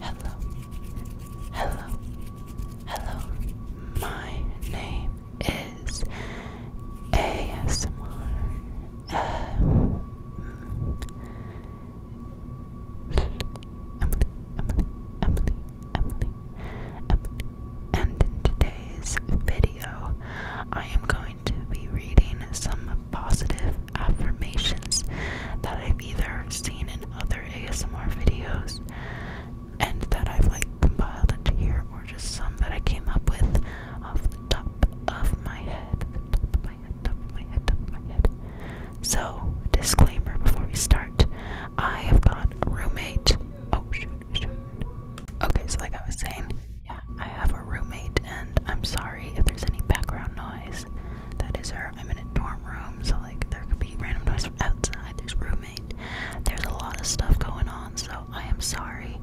Hello, hello, hello. My name is ASMR. Emily, Emily, Emily, Emily, Emily. And in today's video, I am going to be reading some positive affirmations that I've either seen in other ASMR videos and that I've like compiled into here, or just some that I came up with off the top of my head. Top of my head, top of my head, top of my head. So, disclaimer before we start, I have got a roommate. Oh, shoot, Okay, so like I was saying, yeah, I have a roommate, and I'm sorry if there's any background noise. That is our i dorm room, so like there could be random noise outside. There's roommate. There's a lot of stuff going on, so I am sorry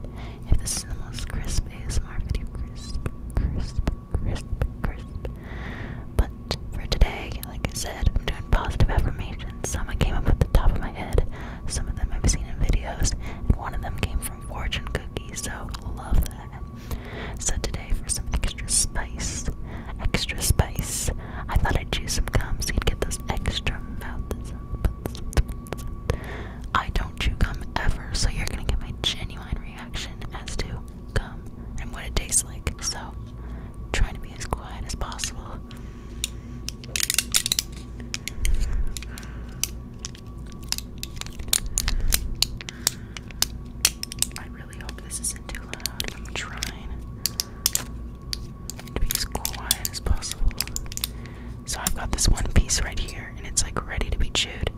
if this is the most crisp ASMR video. Crisp, crisp, crisp, crisp. But for today, like I said, I'm doing positive affirmations. Some I came up with the top of my head. Some of them I've seen in videos, and one of them came from from fortune cookies, so love that. So today for some extra spice, extra spice, I thought I'd choose some gum so you'd get those extra mouths. I don't chew gum ever, so you're gonna get my genuine reaction as to gum and what it tastes like. So, trying to be as quiet as possible. I really hope this isn't too loud. I'm trying to be as quiet as possible. So I've got this one piece right here, and it's like ready to be chewed.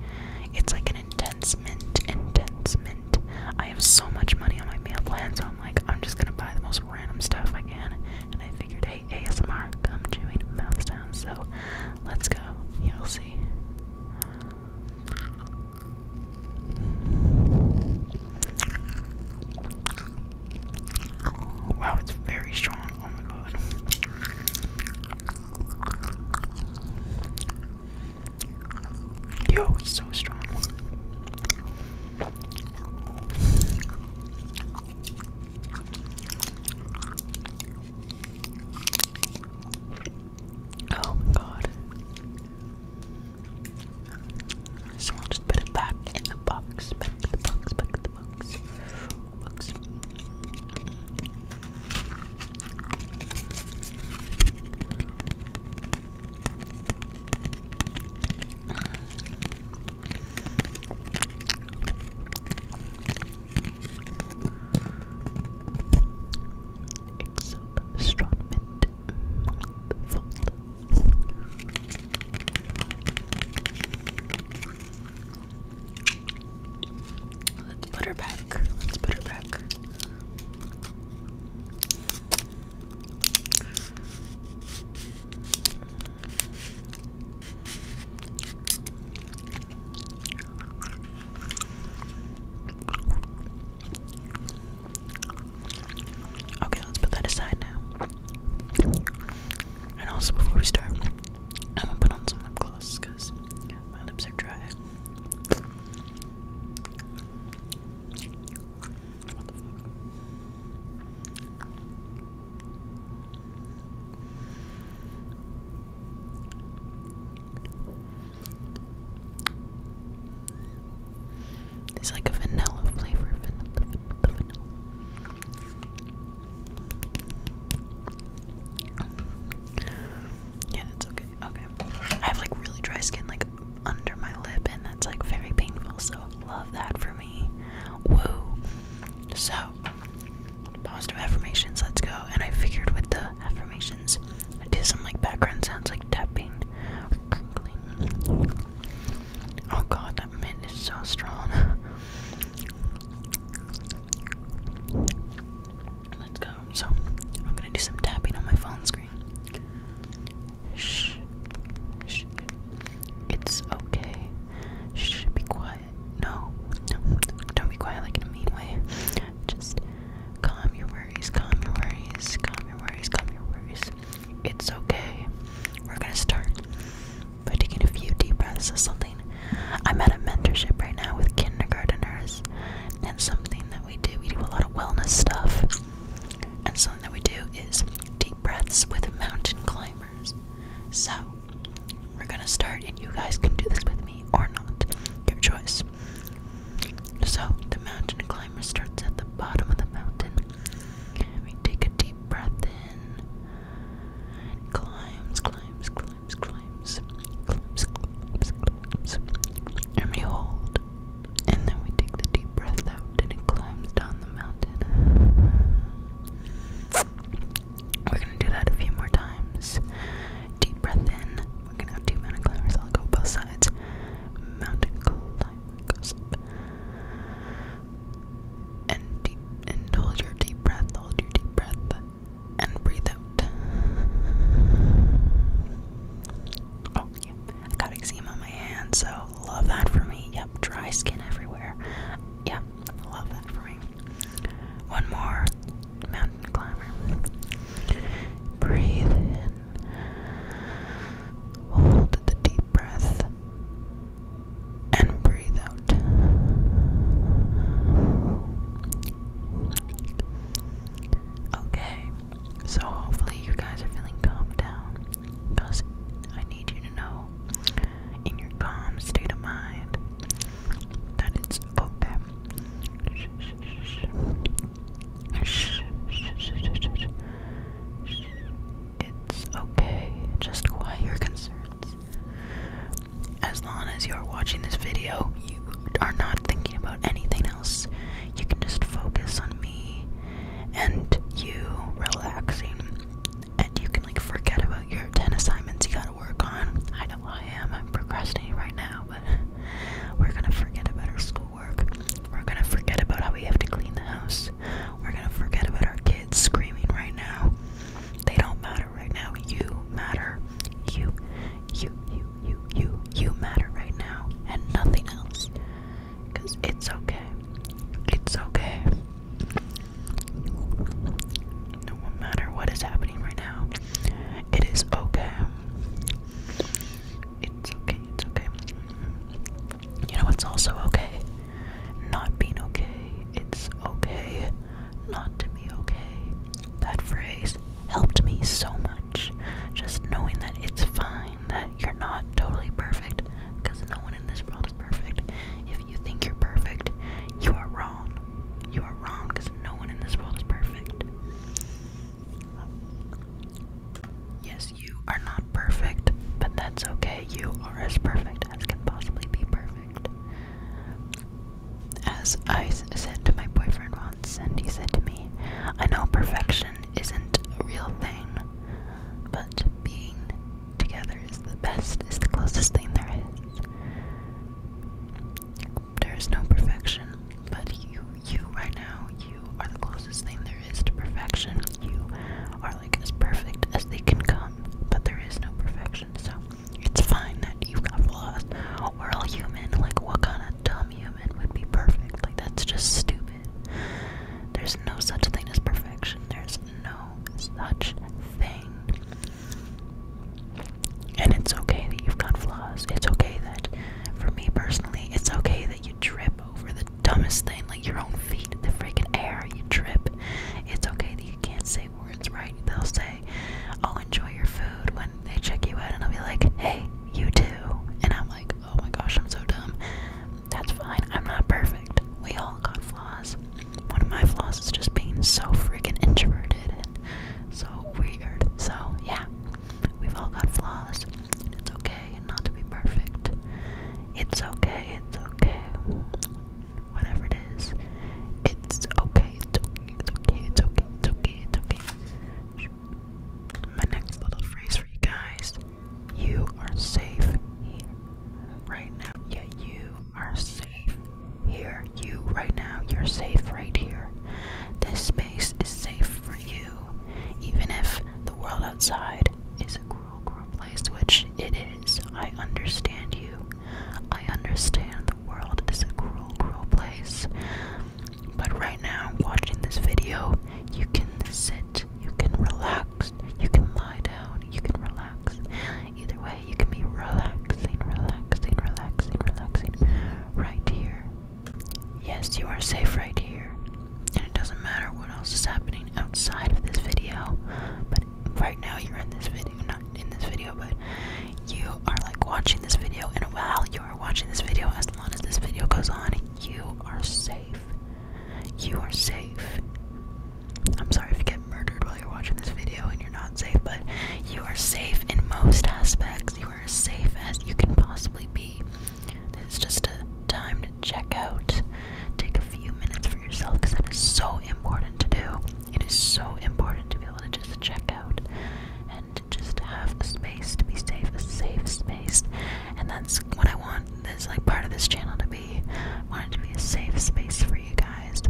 It's like an intense mint, intense mint. I have so much money on my meal plan, so I'm like, I'm just gonna buy the most random stuff I can. And I figured, hey, ASMR, come chewing mouth so let's go. You'll see. Wow, it's very strong. Oh my god. Yo, it's so strong. Oh my god. So we'll just put it back in the box, back in the box, back in the box. box. Exobstronment Full Let's put her back. Let's put her back. Okay, let's put that aside now. And also, before we start, I'm gonna put on some lip gloss because my lips are dry. It's like a vanilla flavor, vanilla, vanilla, Yeah, that's okay. Okay. I have like really dry skin like under my lip and that's like very painful, so love that for me. Woo. So positive affirmations, let's go. And I figured with the affirmations, I'd do some like background sounds like tapping crinkling. Oh god, that mint is so strong. Let's go. So, I'm gonna do some tapping on my phone screen. Shh. Shh. It's okay. Should Be quiet. No, no, don't be quiet like in a mean way. Just calm your worries, calm your worries, calm your worries, calm your worries. It's okay. We're gonna start by taking a few deep breaths or something. I'm at a mentorship right now with kindergarteners, and something that we do, we do a lot of wellness stuff, and something that we do is deep breaths with mountain climbers. So, we're gonna start, and you guys can do this with me or not. Your choice. So, the mountain climber starts at the bottom of the mountain. We take a deep breath in. And climbs, climbs, climbs, climbs. Climbs, climbs, climbs. And we hold. And then we take the deep breath out, and it climbs down the mountain. We're gonna do that a few more times. Deep breath in. We're gonna have two mountain climbers. I'll go both sides. Mountain climber goes up. And deep and hold your deep breath. Hold your deep breath. And breathe out. Oh yeah. I got eczema on my hand, so love that for me. Yep, dry skin everywhere. Yeah, love that for me. One more mountain climber. Breathe in. Hold the deep breath. And breathe out. Okay, so hopefully you guys are feeling calmed down because I need you to know in your calm state of mind that it's okay. It's okay. Just quiet your concerns. As long as you're watching this video, you are not thinking about anything else. You can just focus on me and you relaxing. And you can like forget about your 10 assignments you got work on. I know I am. I'm procrastinating right now, but we're gonna forget about our schoolwork. We're gonna forget about how we have to clean the house. We're gonna forget about our kids screaming right now. They don't matter right now. You matter. You, you, you, you, you, you matter right now, and nothing else. Because it's okay. It's okay. No matter what is happening right now, it is okay. It's okay, it's okay. You know, it's also okay not being okay. It's okay not to be okay. That phrase helped me so much. Just knowing that it's fine, that you're not totally perfect, because no one in this world is perfect. If you think you're perfect, you are wrong. You are wrong because no one in this world is perfect. Yes, you are not perfect, but that's okay. You are as perfect as can possibly be perfect. As I said to my boyfriend once, and he said to me, I know perfection isn't a real thing, but being together is the best, is the closest thing there is. There is no perfection, but you, you right now, you are the closest thing there is to perfection. You are like as perfect as they can come, but there is no perfection, so it's fine that you got flaws. We're all human. Like, what kind of dumb human would be perfect? Like, that's just stupid. There's no such thing as perfection. There's no such thing. And it's okay that you've got flaws. It's okay that, for me personally, it's okay that you trip over the dumbest thing, like your own feet in the freaking air. You trip. It's okay that you can't say words right. They'll say, "I'll oh, enjoy your food." When they check you out, and i will be like, "Hey, you too." And I'm like, "Oh my gosh, I'm so dumb." That's fine. I'm not perfect. We all got flaws one of my flaws is just being so freaking introverted and so weird. So, yeah, we've all got flaws. It's okay not to be perfect. It's okay, it's okay. Whatever it is, it's okay, it's okay, it's okay, it's okay, it's okay, it's okay. My next little phrase for you guys you are safe here right now. Yeah, you are safe here. You, right now, you're safe right here. This space is safe for you, even if the world outside is a cruel, cruel place, which it is. I understand you. I understand the world is a cruel, cruel place. But right now, watching this video, you can sit, you can relax, you can lie down, you can relax. Either way, you can be relaxing, relaxing, relaxing, relaxing right here. Yes, you are safe right here. And it doesn't matter what else is happening outside of this video. But right now you're in this video, not in this video, but you are like watching this video. And while you are watching this video, as long as this video goes on, you are safe. You are safe. I'm sorry if you murdered while you're watching this video and you're not safe, but you are safe in most aspects. You are as safe as you can possibly be. It's just a time to check out. Take a few minutes for yourself because that is so important to do. It is so important to be able to just check out and just have a space to be safe, a safe space. And that's what I want this like part of this channel to be. I want it to be a safe space for you guys.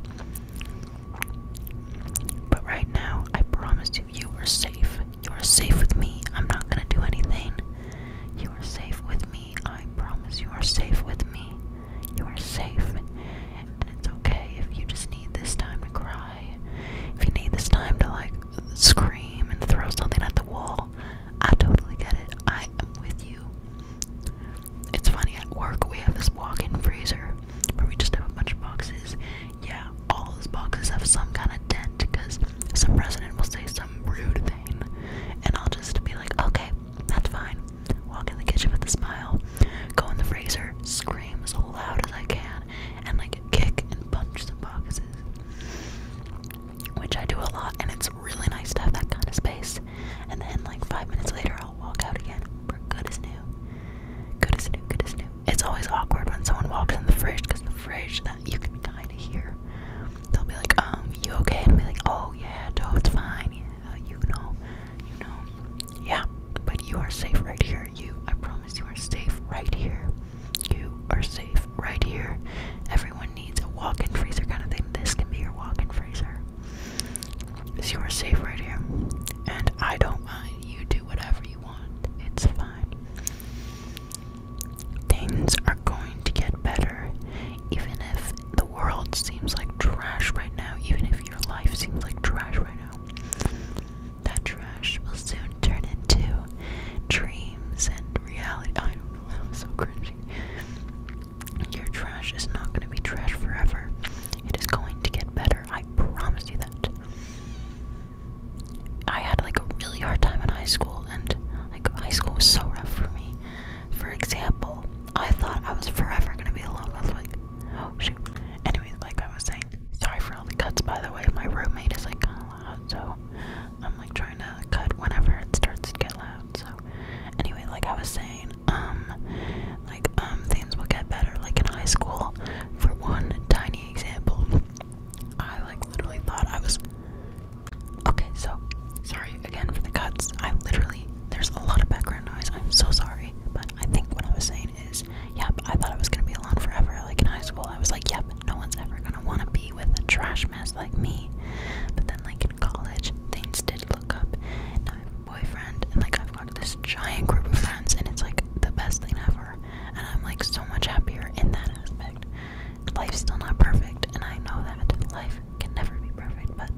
But right now, I promise you, you are safe. You are safe with me. I'm not gonna do anything. You are safe with me. I promise you are safe with me. You are safe. And it's okay if you just need this time to cry. If you need this time to like scream and throw something at the wall. I totally get it. I am with you. It's funny at work we have this walk-in freezer but we just have a bunch of boxes. Yeah, all those boxes have some kind of dent because some president will say some rude thing, and I'll just be like, okay, that's fine. Walk in the kitchen with a smile, go in the freezer, scream as loud as I can, and like kick and punch some boxes. Which I do a lot, and it's really nice to have that kind of space. And then, like, five minutes later, walk out again. We're good as new. Good as new, good as new. It's always awkward when someone walks in the fridge because the fridge that you can kind of hear. They'll be like, um, you okay? And I'll be like, oh yeah, no, it's fine. you know, you know. Yeah, but you are safe right here. You, I promise you are safe right here. You are safe right here. Everyone needs a walk-in freezer kind of thing. This can be your walk-in freezer. So you are safe right here. And I don't mind. You do whatever you want. It's fine. Things are going to get better. Even if the world seems like trash right now, even if your life seems like trash right now, that trash will soon turn into dreams and reality. I don't know, that was so cringy. Your trash is not going to be trash forever. It is going to get better. I promise you that. I had like a really hard time in high school, and like high school was so rough for me. For example, I thought I was forever gonna be alone. I was like, oh shoot. Anyways, like I was saying, sorry for all the cuts by the way. My roommate is like kind of loud, so I'm like trying to cut whenever it starts to get loud. So, anyway, like I was saying, um like um things will get better like in high school for one tiny example I like literally thought I was okay so sorry again for the cuts I literally there's a lot of background noise I'm so sorry but I think what I was saying is yep I thought I was gonna be alone forever like in high school I was like yep no one's ever gonna wanna be with a trash mess like me but then like in college things did look up and I'm boyfriend and like I've got this giant group of friends and it's like the best thing ever and I'm like so much happier in that aspect. Life's still not perfect and I know that life can never be perfect but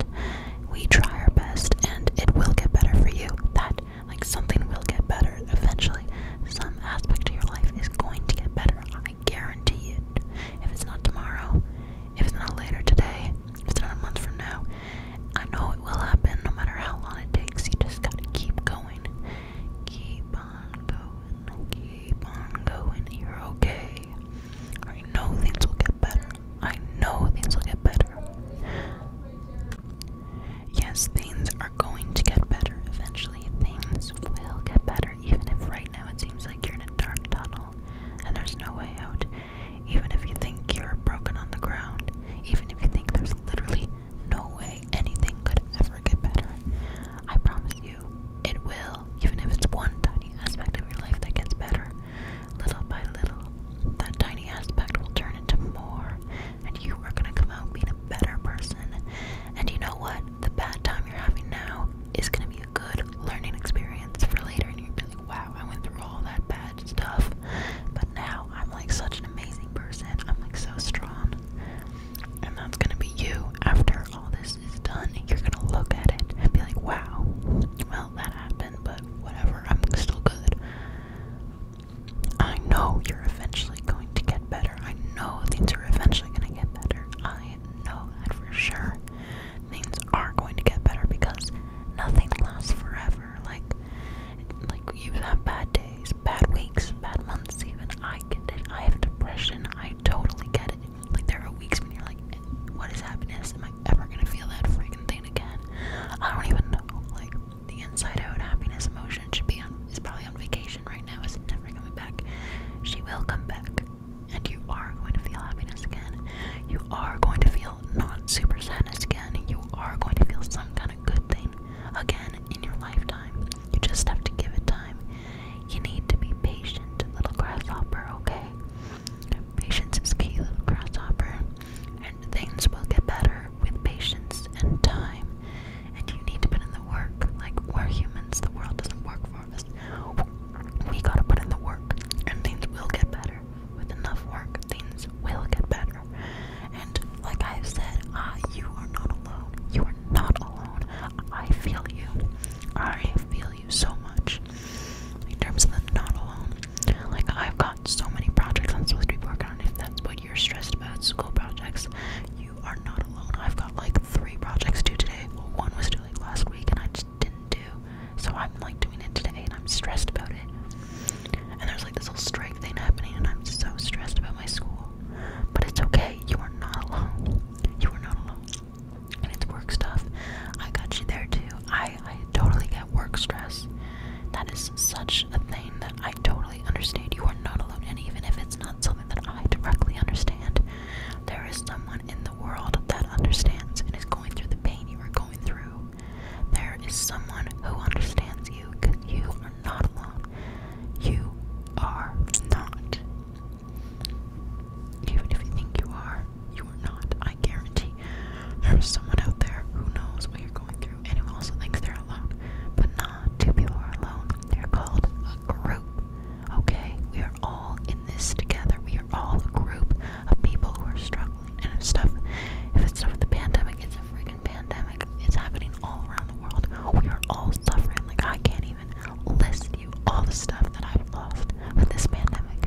we try our best and it will get better for you. That like something will get better eventually. Some aspect of your life is going to get better. I guarantee it. If it's not tomorrow, if it's not later today, if it's not a month from now, I know it will happen no matter how long it takes. You just gotta keep going. Keep on going. Keep on going. You're okay. I know things will get better. I know things will get better. Yes, things are going to get better eventually. Things will get better, even if right now it seems like you're in a dark tunnel and there's no way out even if you think you're broken on the ground, even if you think there's literally no way anything could ever get better, I promise you it will, even if it's one tiny aspect of your life that gets better. Little by little, that tiny aspect will turn into more, and you are going to come out being a better person. And you know what? The bad time you're having now is going to be a good learning experience for later in your wow, I went through all that bad stuff, but now I'm like such an amazing person. I'm like so strong, and that's gonna be you after all this is done. You're gonna look at it and be like, wow, well, that happened, but whatever, I'm still good. I know you're eventually going to get better. I know things are eventually going to get better. I know that for sure. Things are going to get better because nothing lasts forever. Like, like you have had bad days, bad weeks, bad months. Even I get it. I have depression. I totally get it. Like there are weeks when you're like, what is happiness? Am I ever gonna feel that freaking thing again? I don't even know. Like the inside out happiness emotion should be on is probably on vacation right now. Is never coming back. She will come back, and you are going to feel happiness again. You are going to feel not super sadness again, you are going to feel some kind of good thing again in your lifetime. You just have to give it time. You need to be patient, little grasshopper, okay? Patience is key, little grasshopper. And things will get better with patience and time. And you need to put in the work. Like, we're humans, the world doesn't work for us. We gotta put in the work, and things will get better with enough work, things will get better. And like I've said, ah, you are not alone. You are not alone. I feel you. I feel you so much. In terms of the not alone, like I've got so many projects I'm supposed to be working on. If that's what you're stressed about, school projects, you are not alone. I've got like three projects due today. one was due last week, and I just didn't do. So I'm like doing it today and I'm stressed about it. And there's like this whole strike thing happening and I'm so stressed about my school. But it's okay. You are not alone. You are not alone. And it's work stuff. I got you there too. I, I totally get work stress. That is such a thing that I totally understand. You are not alone. And even if it's not something that I directly understand, there is someone in the world that understands and is going through the pain you are going through. There is someone who understands you because you are not alone. You are not. Even if you think you are, you are not. I guarantee there is someone out there who knows what you're going through and who also thinks they're alone. But not two people are alone. They're called a group. Okay? We are all in this together. We are all a group of people who are struggling and stuff. If it's stuff with the pandemic, it's a freaking pandemic. It's happening all around the world. We are all suffering. Like I can't even list you all the stuff that I've lost with this pandemic.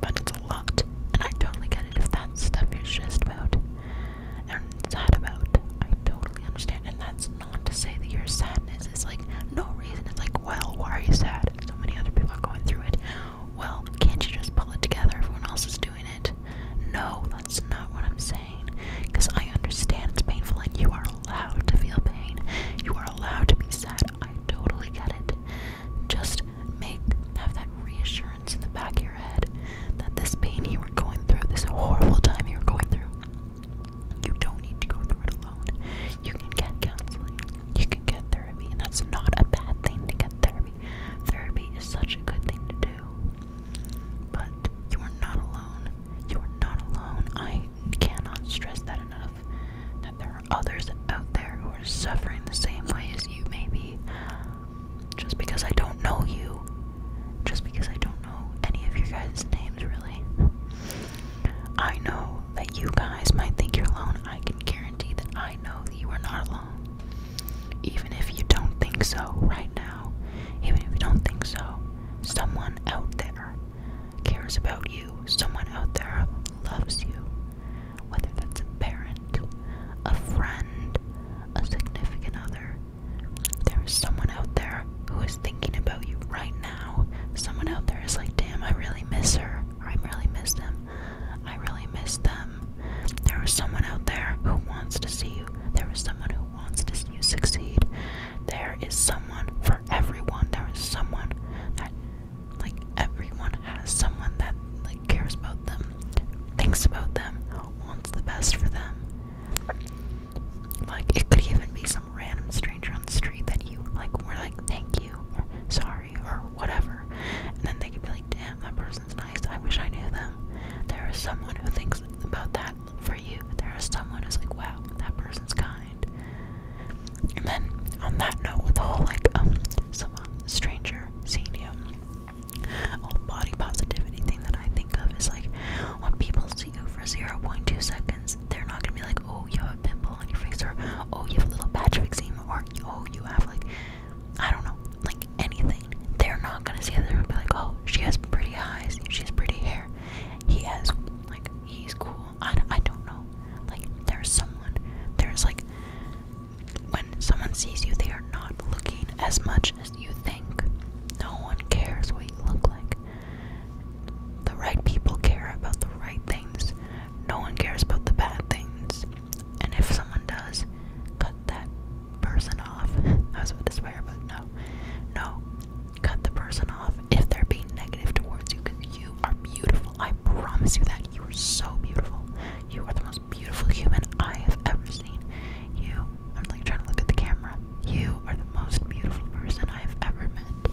But it's a lot, and I totally get it if that stuff you're stressed about and sad about. I totally understand, and that's not to say that your sadness is like no reason. It's like, well, why are you sad? So many other people are going through it. Well, can't you just pull it together? Everyone else is doing it. No, that's not what I'm saying. Because I understand it's painful and you are allowed to feel pain. You are allowed to be sad. I totally get it. Just make have that reassurance in the back of your head that this pain you were going through, this horrible time you were going through, you don't need to go through it alone. You can get counseling you can get therapy, and that's not a bad thing to get therapy. Therapy is such a good thing to do. But you are not alone. You are not alone. I cannot stress that enough. That there are others out there who are suffering the same way as you may Just because I don't know you, just because I don't know any of your guys' names, really. I know that you guys might think you're alone. I can guarantee that I know that you are not alone. Even if you don't think so right now, even if you don't think so, someone out there cares about you. Someone out there loves you. Whether that's a parent, a friend, a significant other, there is someone out there who is thinking about you right now. Someone out there is like, damn, I really miss her. I really miss them. I really miss them. There is someone out there who wants to see you. There is someone who wants to see you succeed. There is someone for everyone. There is someone that, like, everyone has someone that, like, cares about them, thinks about them, wants the best for them. Like, it could even be some random stranger on the street that you, like, were like, thank you, sorry or whatever. And then they could be like, damn, that person's nice. I wish I knew them. There is someone who thinks about that for you. There is someone who's like, wow, that person's kind. And then on that note, with the whole like, um, someone um, stranger seeing you, all body positivity thing that I think of is like, when people see you for 0 0.2 seconds, they're not gonna be like, oh, you have a pimple on your face, or oh, you have a little patch of eczema, or oh, you have like I don't know, like anything. They're not gonna see it. They're gonna be like, oh, she has pretty eyes. She has pretty hair. He has, like, he's cool. I, I don't know. Like, there's someone. There's, like, when someone sees you, they are not looking as much as you think. No one cares what you look like. The right people care about the right things. No one cares about the bad things. And if someone does, cut that person off. I was about to swear, but no. No. Cut the person off if they're being negative towards you because you are beautiful. I promise you that. You are so beautiful. You are the most beautiful human I have ever seen. You, I'm like trying to look at the camera. You are the most beautiful person I have ever met.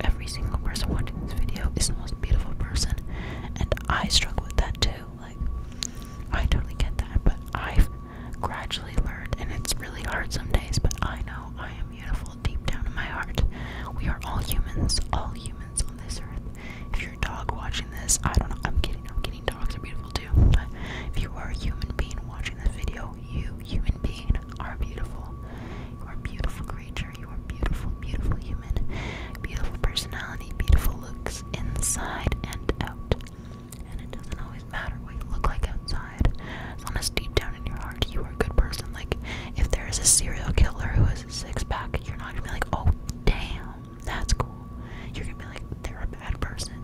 Every single person watching this video is the most beautiful person, and I struggle with that too. Like, I totally get that, but I've gradually learned, and it's really hard some days, but I know I am beautiful deep down in my heart. We are all humans, all humans on this earth. If you're a dog watching this, I don't know, I'm kidding, I'm kidding, dogs are beautiful too. But if you are a human being watching this video, you, human being, are beautiful. You are beautiful creature admire your beautiful, beautiful human, beautiful personality, beautiful looks inside and out. And it doesn't always matter what you look like outside. As deep down in your heart you are a good person. Like if there is a serial killer who has a six pack, you're not gonna be like, oh damn, that's cool. You're gonna be like, they're a bad person.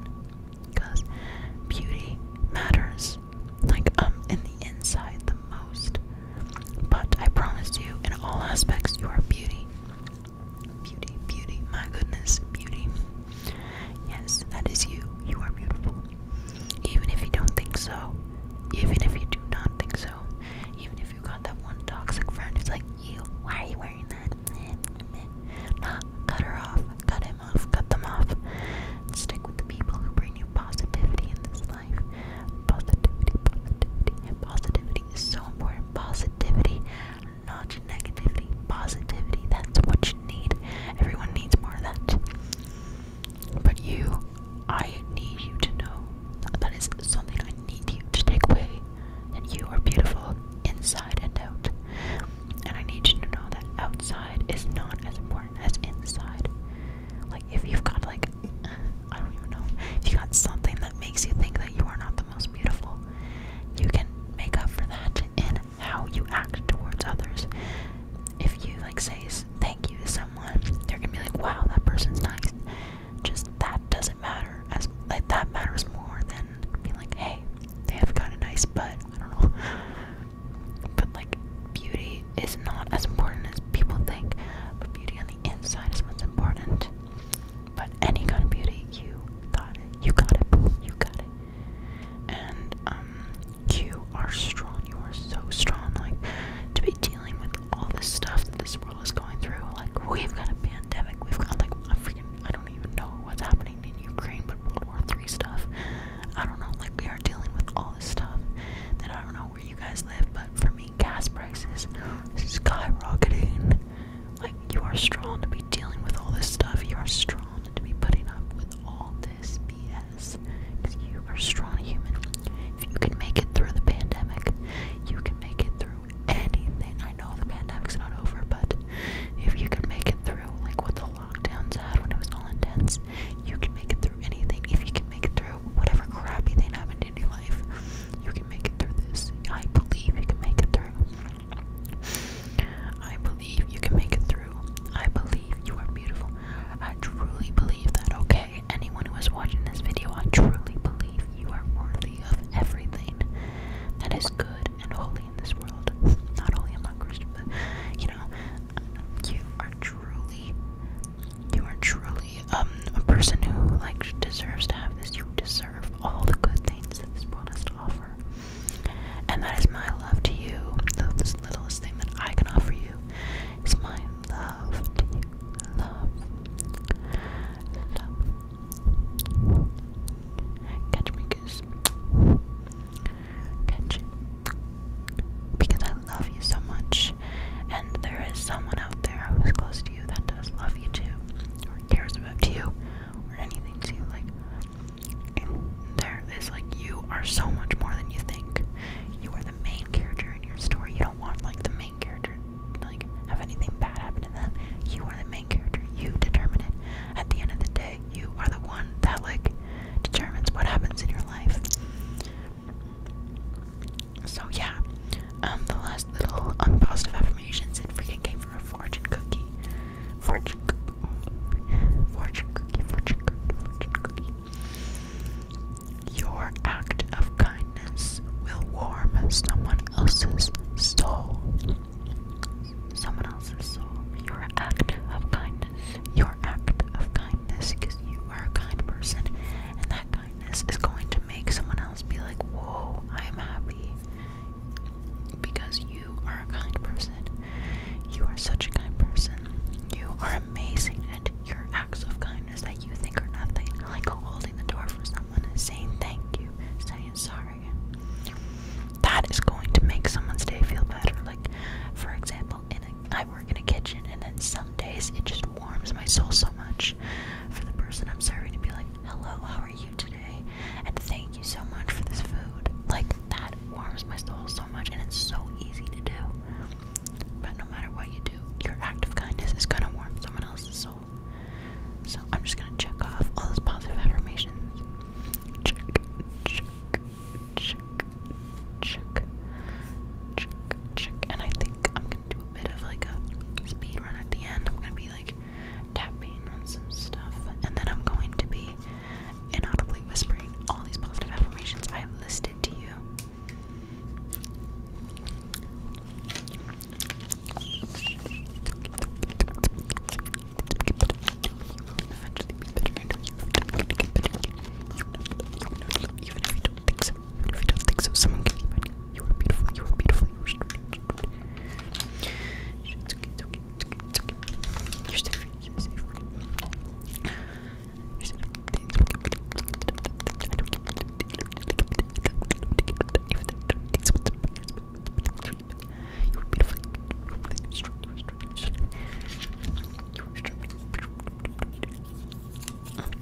beauty matters. Like um in the inside the most. But I promise you, in all aspects, you are beauty. Beauty, beauty, my goodness, beauty. Yes, that is you. You are beautiful. Even if you don't think so, even if you do not think so, even if you got that one toxic friend who's like, you, why are you wearing that? Nah, cut her off, cut him off, cut them off. Stick with the people who bring you positivity in this life. Positivity, positivity, positivity is so important. Positivity, not negativity. Positivity, that's what you need. Everyone needs more of that. But you, I need you to know that is something I need you to take away. That you are beautiful inside and out. And I need you to know that outside is not as important as inside. Like if you've got like I don't even know. If you got something that makes you think that you are not the most beautiful, you can make up for that in how you act towards others. If you like say thank you to someone, they're gonna be like, "Wow, that person's nice." Just that doesn't matter as like that matters more than being like, "Hey, they have got a nice butt." I don't know. But like beauty is not as important as people think. But beauty on the inside is what's important. But any kind of beauty, you got it. You got it, boo. You got it. And um, you are strong. You are so strong. Like to be dealing with all this stuff that this world is going through. Like we've got a pandemic. We've got like a freaking. I don't even know what's happening in Ukraine, but World War Three stuff. I don't know. Like we are dealing with all this stuff. That I don't know where you guys live, but for me, gas prices skyrocketing. Like, you are strong to be dealing with all this stuff. You are strong to be putting up with all this BS. you are strong human. If you can make it through the pandemic, you can make it through anything. I know the pandemic's not over, but if you can make it through, like what the lockdowns had when it was all intense, you can make it through anything. If you can make it through whatever crappy thing happened in your life, you can make it through this. I believe you can make it through. I believe you can make it through. I believe you are beautiful. I truly believe that, okay? Anyone who is watching this video, I truly believe you are worthy of everything that is good and holy in this world. Not only am I Christian, but, you know, you are truly you are truly um, a person who like deserves to have this. You deserve all the good things that this world has to offer. And that is my love to you. The this thing that I can offer you is my love to you. Love. Love. Catch me goose. Catch Because I love you so much. And there is someone out there who is close that does love you too, or cares about you, or anything to you. Like, there is like you are so much more than you think. You are the main character in your story. You don't want like the main character like have anything bad happen to them. You are the main character. You determine it. At the end of the day, you are the one that like determines what happens in your life. So yeah, um, the last little unpositive affirmations and freaking came from a fortune cookie. Fortune cookie, fortune cookie, fortune cookie, fortune cookie. Your act of kindness will warm someone else's soul. Someone else's soul. Your act of kindness. Your act of kindness because you are a kind person and that kindness is going to make someone else be like, Whoa, I'm happy because you are a kind person. You are such a kind person. You are amazing, and your acts of kindness that you think are nothing, like holding the door for someone and saying thank you, saying sorry, that is going to make someone's day feel better. Like, for example, in a, I work in a kitchen, and then some days it just just warms my soul so much for the person I'm serving to be like, hello, how are you today? And thank you so much for this food. Like, that warms my soul so much, and it's so easy to do. But no matter what you do, your act of kindness is gonna warm someone else's soul. So I'm just gonna check off all those positive affirmations. Check, check, check, check, check, check. And I think I'm gonna do bit of like a speed at the end. I'm gonna be like tapping on some stuff, and then I'm going to be inaudibly whispering all these positive affirmations I have listed to you. Eventually, don't think so, if you don't think so, are beautiful, you are beautiful, you are straight. You're beautiful.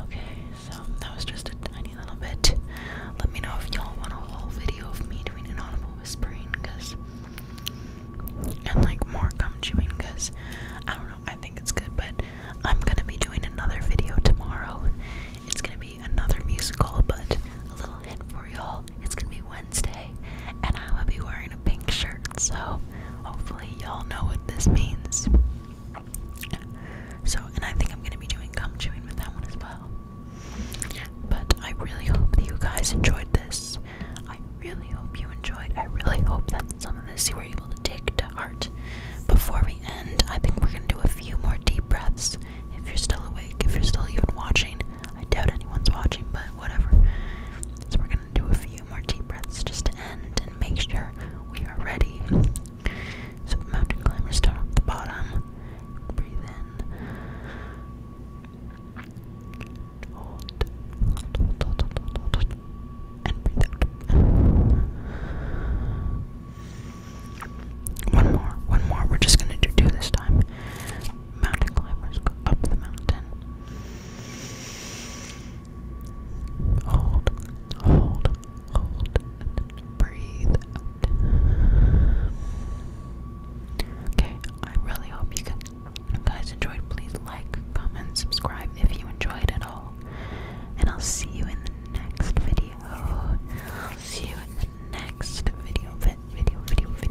Okay, so that was just a tiny little bit. Let me know if y'all want a whole video of me doing an audible whispering, cause and like more gum chewing, cause I don't know. I think it's good, but I'm gonna be doing another video tomorrow. It's gonna be another musical, but a little hint for y'all. It's gonna be when Wednesday, and i will be wearing a pink shirt, so hopefully, y'all know what this means. So, and I think I'm gonna be doing gum chewing with that one as well. But I really hope that you guys enjoyed this. I really hope you enjoyed. I really hope that some of this you were able to take to heart. Before we end, I think we're gonna do a few more deep breaths. If you're still awake, if you're still even watching, I doubt anyone's watching, but whatever. So, we're gonna do a few more deep breaths just to end and make sure we are ready. So, the mountain climbers start off the bottom. Breathe in. Hold. Hold, hold, hold, hold, hold, hold. And breathe out. One more, one more. We're just gonna do two this time mountain climbers go up the mountain. Hold, hold, hold, breathe Okay, I really hope you guys enjoyed. Please like, comment, subscribe if you enjoyed at all. And I'll see you in the next video. see you in the next video, video, video, video, video.